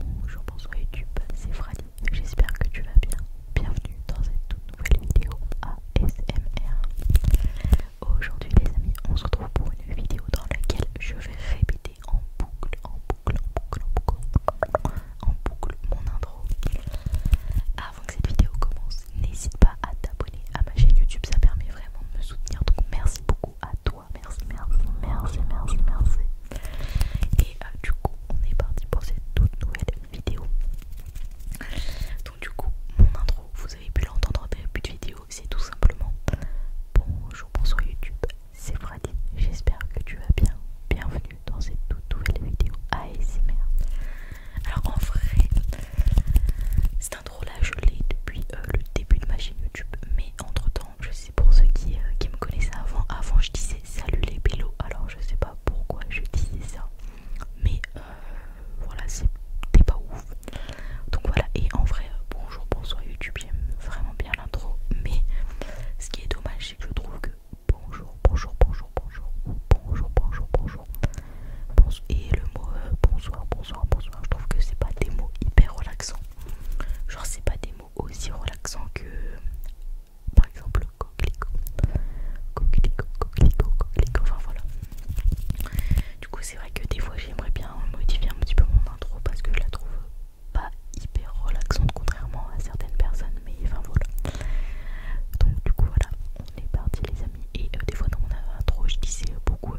Bonjour, bonsoir YouTube, c'est Fradie, j'espère que tu vas bien. Bienvenue dans cette toute nouvelle vidéo ASMR. Aujourd'hui les amis, on se retrouve pour une vidéo dans laquelle je vais répéter en boucle, en boucle, en boucle, en boucle, en boucle mon intro. Avant que cette vidéo commence, n'hésite pas à t'abonner à ma chaîne YouTube, ça permet vraiment de me soutenir, donc merci beaucoup à toi. Merci, merci, merci, merci, merci. Et euh, du coup, on est parti pour cette toute nouvelle vidéo. Donc du coup, mon intro, vous avez pu l'entendre en début de vidéo, c'est tout simplement bonjour, bonsoir YouTube, c'est Fradi, j'espère que tu vas bien, bienvenue dans cette toute nouvelle vidéo ASMR. Alors en vrai, cette intro là je l'ai depuis euh, le début de ma chaîne YouTube, mais entre temps, je sais pour ceux euh, qui, me connaissaient avant, avant je disais salut les vélos, alors je sais pas pourquoi je disais ça, mais euh, voilà, c'était pas ouf. Donc voilà, et en vrai, euh, bonjour, bonsoir YouTube, j'aime vraiment bien l'intro, mais ce qui est dommage, c'est que je trouve que bonjour, bonjour, bonjour, bonjour, bonjour, bonjour, bonjour, bonsoir, et le mot bonsoir, bonsoir, bonsoir, je trouve que c'est pas des mots hyper relaxants. Genre, c'est pas des mots aussi relaxants que par exemple coquelicot, coquelicot, coquelicot, coquelicot. Enfin voilà. Du coup, c'est vrai que des fois, j'aimerais bien modifier un petit peu mon intro parce que je la trouve pas hyper relaxante contrairement à certaines personnes. Mais enfin voilà. Donc, du coup, voilà, on est parti, les amis. Et euh, des fois, dans mon intro, je disais beaucoup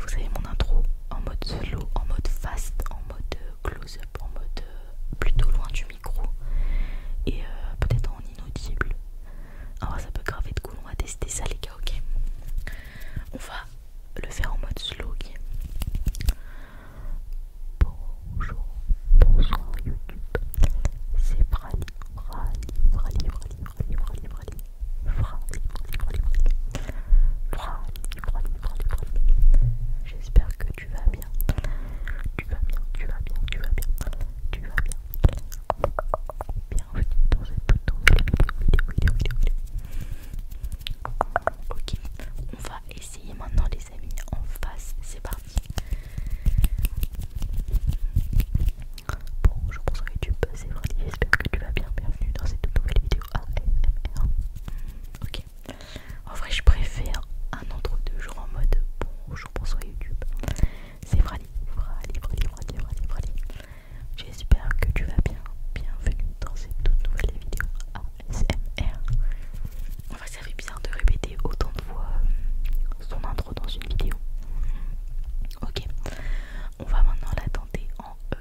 vous savez mon intro en mode slow, en mode fast, en mode close-up, en mode plutôt loin du micro et peut-être en inaudible. Alors ça peut graver de cool, on va tester ça les gars, ok On va le faire en mode slow, ok Bonjour, YouTube, c'est Brali, Brali, J'espère que tu vas bien. Tu vas bien, tu vas bien, tu vas bien, tu vas bien. Bienvenue dans cette nouvelle vidéo, Ok, on va essayer maintenant les amis en face, c'est parti. Bonjour, que YouTube, c'est Freddy, j'espère que tu vas bien, bienvenue dans cette toute nouvelle vidéo AMR. Ok. En vrai, je préfère un entre deux jours en mode bonjour, bonsoir YouTube. C'est J'espère que tu vas bien. Bienvenue dans cette toute nouvelle vidéo ASMR. En vrai, ça bizarre de répéter autant de fois euh, son intro dans une vidéo. Ok. On va maintenant la tenter en E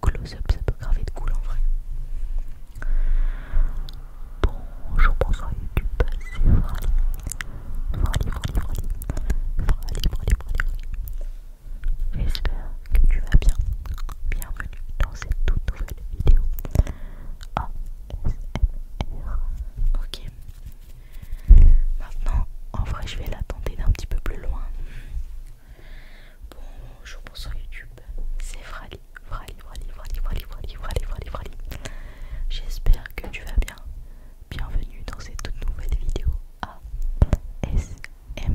close-up, ça peut graver de cool en vrai. Bonjour, bonsoir YouTube, c'est Frali. passé. Frali, Frali. Frali, Frali, Frali. J'espère que tu vas bien. Bienvenue dans cette toute nouvelle vidéo ASMR. Ok. Maintenant, en vrai, je vais l'attendre tenter d'un petit peu plus loin. Bonjour, bonsoir YouTube, c'est Frali, Frali, Frali, Frali, Frali, Frali, Frali, Frali, J'espère que tu vas bien. Bienvenue dans cette toute nouvelle vidéo ASMR.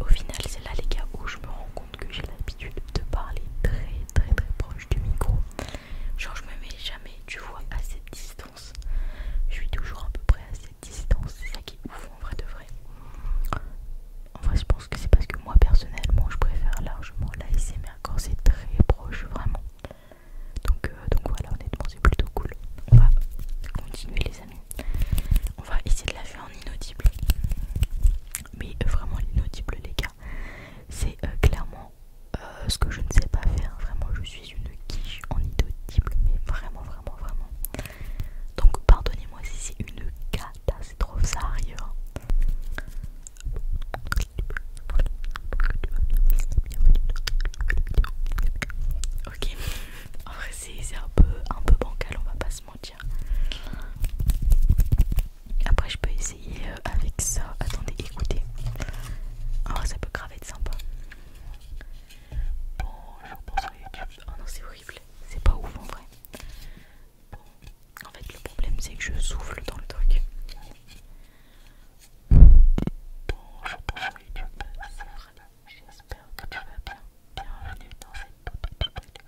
Au final, c'est là les gars où je me rends compte que j'ai l'habitude de parler très très très proche du micro. Genre, je me mets jamais, tu vois, à cette je suis toujours à peu près à cette distance, c'est ça qui est ouf en vrai de vrai. En vrai, je pense que c'est parce que moi personnellement, je préfère largement la mais quand c'est très proche, vraiment. Donc, euh, donc voilà, honnêtement, c'est plutôt cool. On va continuer, les amis. On va essayer de la faire en inaudible. Mais vraiment, l'inaudible, les gars, c'est euh, clairement euh, ce que je ne sais pas faire. Vraiment, je suis une quiche en inaudible, mais vraiment, vraiment, vraiment. Donc pardonnez-moi si c'est une trop ça sérieux hein. Ok, c'est un peu, un peu bancal, on va pas se mentir. Après je peux essayer euh, avec ça. Attendez, écoutez. ça peut grave être sympa. Bon, je reprends sur YouTube. Oh non, c'est horrible. C'est pas ouf en vrai. Bon, en fait, le problème c'est que je souffle dans le truc. Bon, je reprends sur YouTube. J'espère que tu vas bien. Bienvenue dans cette ASMR.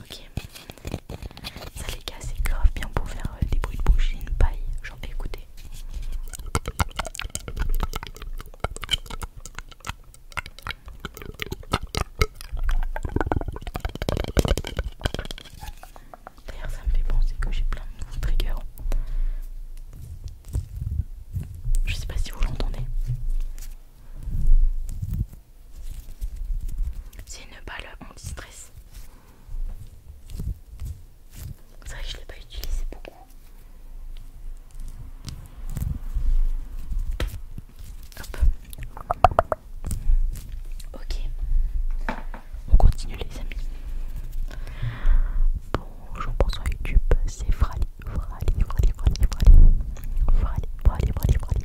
Ok. Ça les gars c'est grave bien pour faire euh, des bruits de bouche, une paille, j'en écoutez D'ailleurs ça me fait penser que j'ai plein de nouveaux triggers. Je sais pas si vous l'entendez. C'est une balle anti-stress. C'est vrai que je l'ai pas utilisé beaucoup. Hop. Ok. On continue les amis. Bonjour, bonsoir YouTube, c'est Frali, Frali, Frali, Frali, Frali, Frali, Frali, Frali, Frali,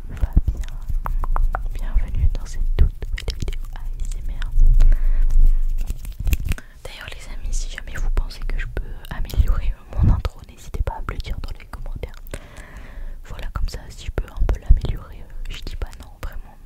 Bienvenue dans cette toute nouvelle vidéo ASMR ah, D'ailleurs les amis, si jamais vous pensez que je peux améliorer mon intro, n'hésitez pas à me le dire dans les commentaires. Voilà, comme ça, si je peux un peu l'améliorer, euh, je dis pas non, vraiment.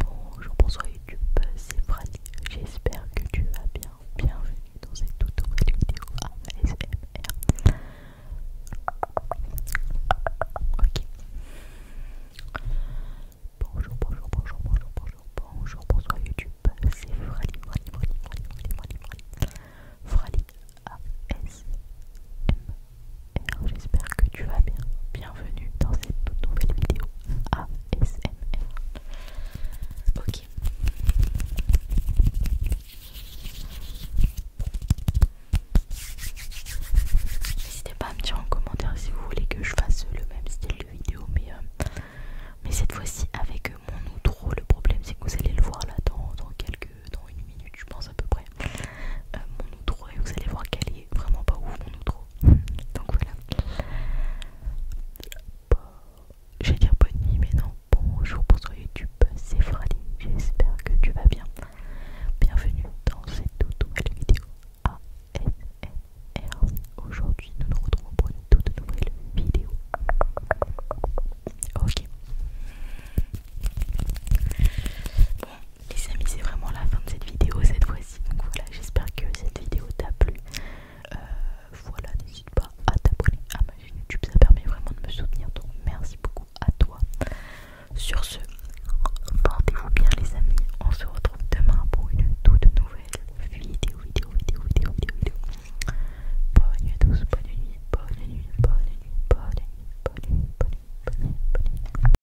Bonjour, bonsoir YouTube, c'est Franny. J'espère que tu vas bien. Bienvenue dans cette toute nouvelle vidéo ASMR. Bonjour, bonjour, bonjour, bonjour, bonjour, bonjour, bonsoir YouTube, c'est Frali, Frali, ASMR. J'espère que tu vas bien bienvenue dans cette toute nouvelle vidéo ASMR. Ok. N'hésitez pas à me dire en commentaire si vous voulez que je fasse le même style de vidéo, mais, euh, cette fois-ci avec mon outro. Le problème, c'est que vous allez le voir là dans, quelques, dans une minute, je pense à peu près. Euh, mon outro et vous allez voir qu'elle est vraiment pas ouf mon outro donc voilà. J'ai je dire bonne nuit, mais non, bonjour, pour bonsoir YouTube, c'est Friday J'espère que tu vas bien. Bienvenue dans cette toute nouvelle vidéo ASMR. Aujourd'hui, nous nous retrouvons pour une toute nouvelle vidéo. Ok les amis c'est vraiment la fin de cette vidéo cette fois-ci donc voilà j'espère que cette vidéo t'a plu euh, voilà n'hésite pas à t'abonner à ma chaîne YouTube ça permet vraiment de me soutenir donc merci beaucoup à toi sur ce portez-vous bien les amis on se retrouve demain pour une toute nouvelle vidéo vidéo vidéo vidéo vidéo bonne nuit à tous bonne bonne nuit bonne nuit bonne nuit bonne nuit bonne nuit bonne nuit, bonne nuit.